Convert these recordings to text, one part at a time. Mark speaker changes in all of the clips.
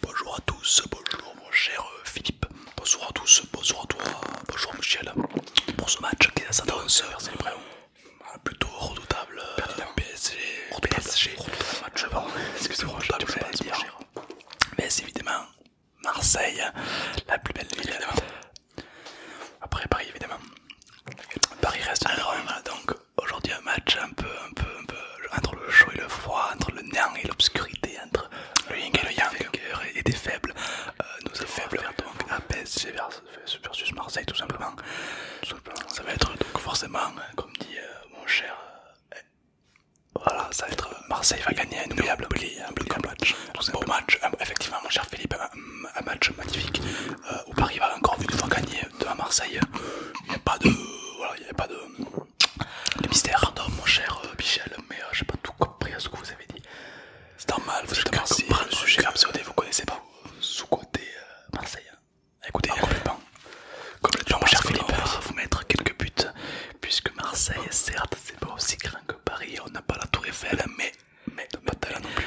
Speaker 1: Bonjour à tous, bonjour mon cher euh, Philippe, bonjour à tous, bonjour à toi, bonjour Michel. Pour ce match qui est vrai. Euh, plutôt redoutable, euh, PSG, PSG, match, excusez-moi, je le dire. Hein. Mais c'est évidemment Marseille, la plus belle ville. Après Paris évidemment. Paris reste Alors, Rome donc aujourd'hui un match un peu, un peu, entre le chaud et le froid, entre le néant et l'obscurité, entre le ying et le yang, euh, et des faibles. Euh, nous faibles, donc à versus Marseille tout simplement. Ça va être donc forcément, hein, comme dit euh, mon cher, voilà, ça va être Marseille va gagner un inoubliable un match, un beau match, effectivement mon cher Philippe, un, match magnifique où Paris va encore une fois gagner de Marseille, il n'y a pas de... Voilà, il n'y a pas de... Le mystère. Pardon mon cher euh, Michel, mais je euh, j'ai pas tout compris à ce que vous avez dit. C'est normal, vous je êtes Marseille, le sujet que... vous connaissez pas. Sous-côté euh, Marseille. Hein. Ah, écoutez, complètement. Comme le mon cher Philippe, on va vous mettre quelques buts, puisque Marseille, certes, c'est pas aussi grand que Paris, on n'a pas la Tour Eiffel, mais, mais, pas de là non plus.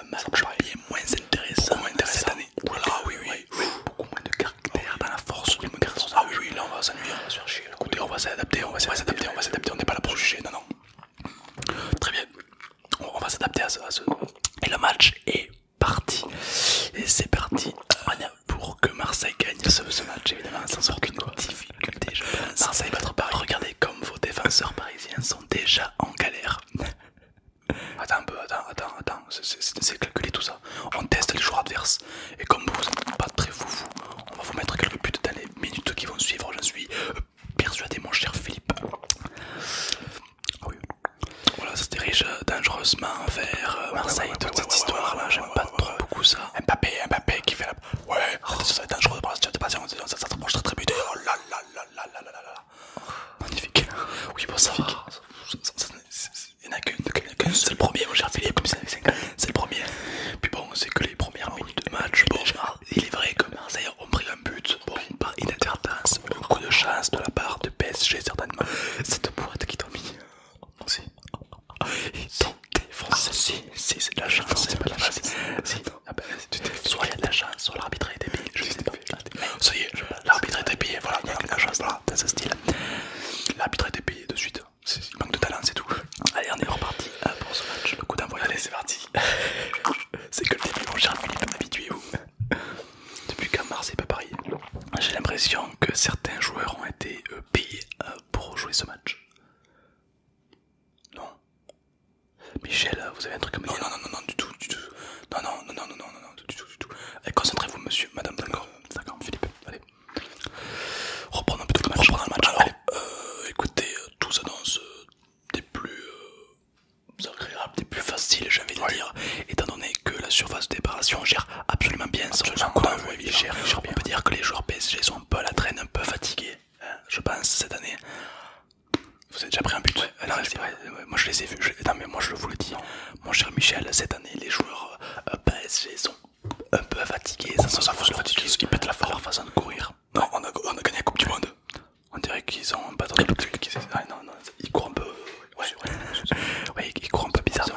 Speaker 1: un match bien moins intéressant, intéressant cette année. Voilà, oui, oui, Beaucoup moins de caractère dans la force. Ah oui, oui, là on va s'ennuyer, on va Écoutez, on va s'adapter, on va s'adapter, on va s'adapter. On n'est pas là pour juger, non, non. Très bien, on va s'adapter à, à ce. Et le match est parti. Et c'est parti. pour que Marseille gagne ce, match, évidemment, sans aucune quoi. Marseille bah, Paris. Regardez comme vos défenseurs parisiens sont déjà en galère. Attends un peu, attends, attends, attends. C'est calculé tout ça. On teste les joueurs adverses. Et comme vous n'êtes pas très foufou, on va vous mettre quelques buts dans les minutes qui vont suivre. J'en suis euh, persuadé, mon cher Philippe. Oui. Voilà, ça se dirige euh, dangereusement vers Marseille, toute cette histoire-là. J'aime pas trop beaucoup ça. Mbappé, Mbappé qui fait Ouais, ça va être dangereux, de patience, ça s'approche très très buté. Oh là là là là là là là Magnifique. Oui, bon, ça va. Il n'y en a qu'une, c'est le premier, mon cher Philippe, c'est le premier. Puis bon, c'est que les premières ah minutes de match. Bon, il est vrai que Marseille ont pris un but, bon, par inadvertance, un coup de chance de la part de PSG, certainement. Cette boîte qui domine. Aussi. Ils sont ah, Si, si, c'est de la chance. C'est pas la chance. Ah, ben, soit il a de la chance, soit l'arbitre est été Je sais pas. Ah, ça y est, l'arbitre Voilà, il a de la chance. Voilà, c'est ce style. L'arbitre est payé de suite. Il manque de talent, c'est tout. Allez, on est reparti euh, pour ce match. Le coup d'envoi. Allez, c'est parti. C'est que le début, mon cher Philippe, depuis vous Depuis qu'à Marseille, pas Paris, j'ai l'impression que certains joueurs ont été euh, payés euh, pour jouer ce match. Non. Michel, vous avez un truc comme me Non, non, non, non, du tout, du tout. Non, non, non, non, non, non, du tout, du tout. Eh, concentrez-vous, monsieur, madame. D'accord, d'accord, Philippe, allez. Reprenons plutôt le match. le match. Alors, euh, écoutez, euh, tout s'annonce des plus euh, agréables, des plus faciles, j'ai envie de dire, étant donné que la surface de déparation gère absolument bien. Absolument cool, oui, il gère, il On peut dire que les joueurs PSG sont un peu à la traîne, un peu fatigués, hein, je pense, cette année. Vous avez déjà pris un but vrai. Moi je les ai vus, non mais moi je vous le dis, dire. mon cher Michel, cette année les joueurs euh, PSG sont un peu fatigués, ça se façon fatigués, Ils pètent la forme, leur façon de courir. Non, on, a, on a gagné la Coupe du Monde. On dirait qu'ils ont pas de ah, non, non, ils courent un peu. Ouais, ils courent un peu bizarrement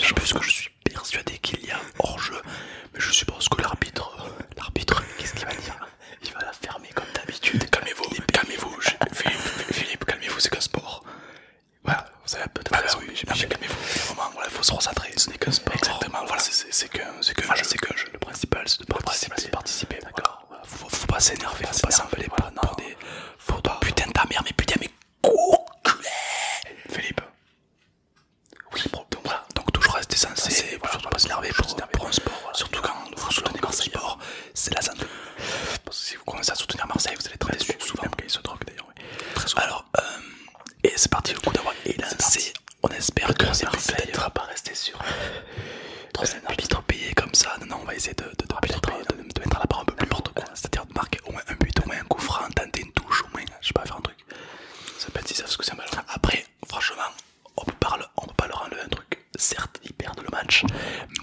Speaker 1: je pense que je suis persuadé qu'il y a hors-jeu, mais je suppose que l'arbitre, l'arbitre, qu'est-ce qu'il va dire Il va la fermer comme d'habitude. Calmez-vous, calmez-vous, Philippe, calmez-vous, c'est qu'un sport. Voilà, vous avez peut-être raison, ah bah oui, mais, mais calmez-vous, où il faut se recentrer, ce n'est qu'un sport. Exactement, voilà, c'est qu'un voilà, jeu. Qu que Le principal, c'est de participer. participer. D'accord, faut, pas s'énerver, faut pas s'envoler pas non. Faut toi putain ta mère, mais putain, mais culé Philippe. Oui, donc voilà, donc toujours rester censé, surtout pas s'énerver pour, pour un sport. Surtout quand vous soutenez Marseille sport, hein. c'est la santé. Parce que si vous commencez à soutenir Marseille, vous allez très vite souvent même il se drogue d'ailleurs. Alors, euh, et c'est parti, le coup d'avoir élancé. On espère que Marseille ne va pas rester sur. Trop euh, arbitre payé comme ça, non, non, on va essayer de de, mettre, la barre un peu plus quoi c'est-à-dire de marquer au moins un but, au moins un coup franc, tenter une touche, au moins, je sais pas, faire un truc. Ça peut être si ça ce que c'est Après, franchement, on peut pas, pas leur enlever un truc. Certes, ils perdent le match,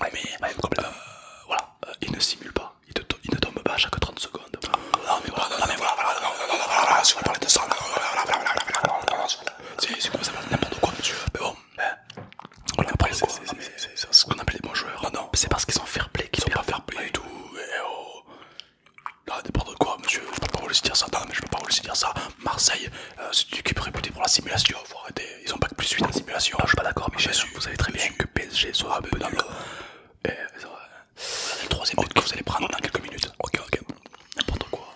Speaker 1: mais voilà, il ne simulent pas, ils, ne tombent pas à chaque 30 secondes. non, mais voilà, voilà, non, non, voilà, voilà. Bah, voilà, après, c'est ce qu'on appelle les bons joueurs. Non, c'est parce qu'ils sont fair play qu'ils sont pas fair play du tout. Oh. Là, n'importe quoi, monsieur. Je peux pas vous le dire ça. Non, mais je peux pas vous dire ça. Marseille, euh, c'est une équipe réputée pour la simulation. Vous Ils ont pas que plus 8 en simulation. Non, je suis pas d'accord, mais Michel. Vous savez très bien que PSG soit ah, un peu Et eh, c'est le troisième but que vous allez prendre dans quelques minutes. Ok, ok. N'importe quoi.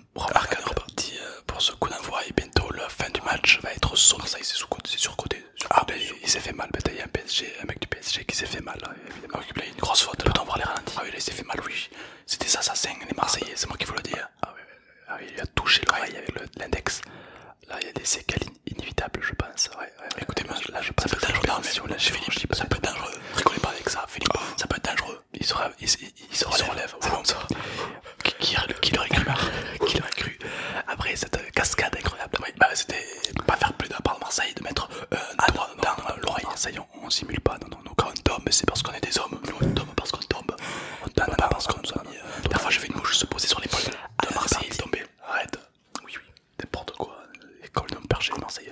Speaker 1: Remarque, on euh, pour ce coup d'envoi et bientôt la fin du match va être sur Ça, il s'est surcoté. Ah, ben il s'est fait mal. Il y a un PSG, un mec du PSG qui s'est fait mal. Euh, ah il il a une grosse faute. Peut-on voir les ralentis Ah, oui, il s'est fait mal, oui. C'était ça assassins, les Marseillais, ah, c'est moi qui vous le dis. Hein. Ah, oui, ah, il a touché l'oreille avec l'index. Là, il y a des séquelles inévitables, je pense. Ouais, Écoutez, moi, là, je pense ça peut être dangereux. Philippe, ça peut être dangereux. Rigolez pas avec ça, Philippe. Ça peut être dangereux. Il se, relève. Il, se relève. Qui, qui l'aurait cru hein. Qui l'aurait cru Après cette cascade incroyable, C'était bah, c'était pas faire plus d'un par Marseille de mettre un doigt ah, dans l'oreille. y on, on simule pas. Non, non, Quand on tombe, c'est parce qu'on est des hommes. Nous, on tombe parce qu'on tombe. pas parce Parfois, euh, je fais une mouche se poser sur l'épaule de Marseille. Tomber. Arrête. Oui, oui. N'importe quoi. École d'un perché de Marseille.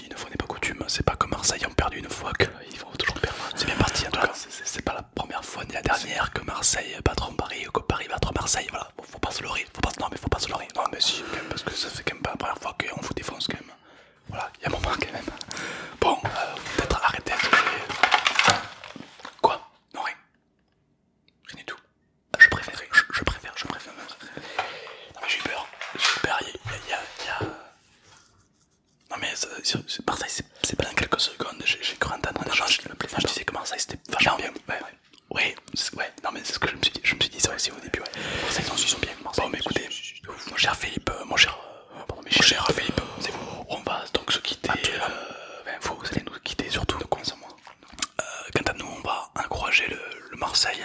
Speaker 1: une fois n'est pas coutume. C'est pas comme Marseille ont perdu une fois qu'ils vont toujours perdre. C'est bien parti en ah, tout cas. C'est pas la première fois ni la dernière que Marseille en Paris ou que Paris en Marseille. Voilà, faut pas se leurrer. Faut pas, non, mais faut pas se leurrer. Non, mais si, parce que ça fait quand même pas la première fois qu'on vous défonce quand même. Voilà, il y a mon marque. quand même. Bon, euh, peut-être arrêter Quoi Non, rien. Rien du tout. Ah, je préfère, je, préfère, je préfère. Non, mais j'ai peur. J'ai peur, il y a... Non mais Marseille c'est pas dans quelques secondes, j'ai cru entendre un je disais que Marseille c'était vachement bien. Ouais, ouais, ouais, non mais c'est ce que je me suis dit, je me suis dit ça aussi au début, ouais. Marseille ils sont bien, Bon mais écoutez, mon cher Philippe, euh, mon cher, euh, mon Philippe, euh, c'est vous, on va donc se quitter, ben, vous allez nous quitter surtout, quant à nous on va encourager le Marseille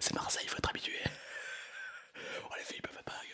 Speaker 1: C'est Marseille, il faut être habitué. Oh, les filles, peuvent pas la gueule.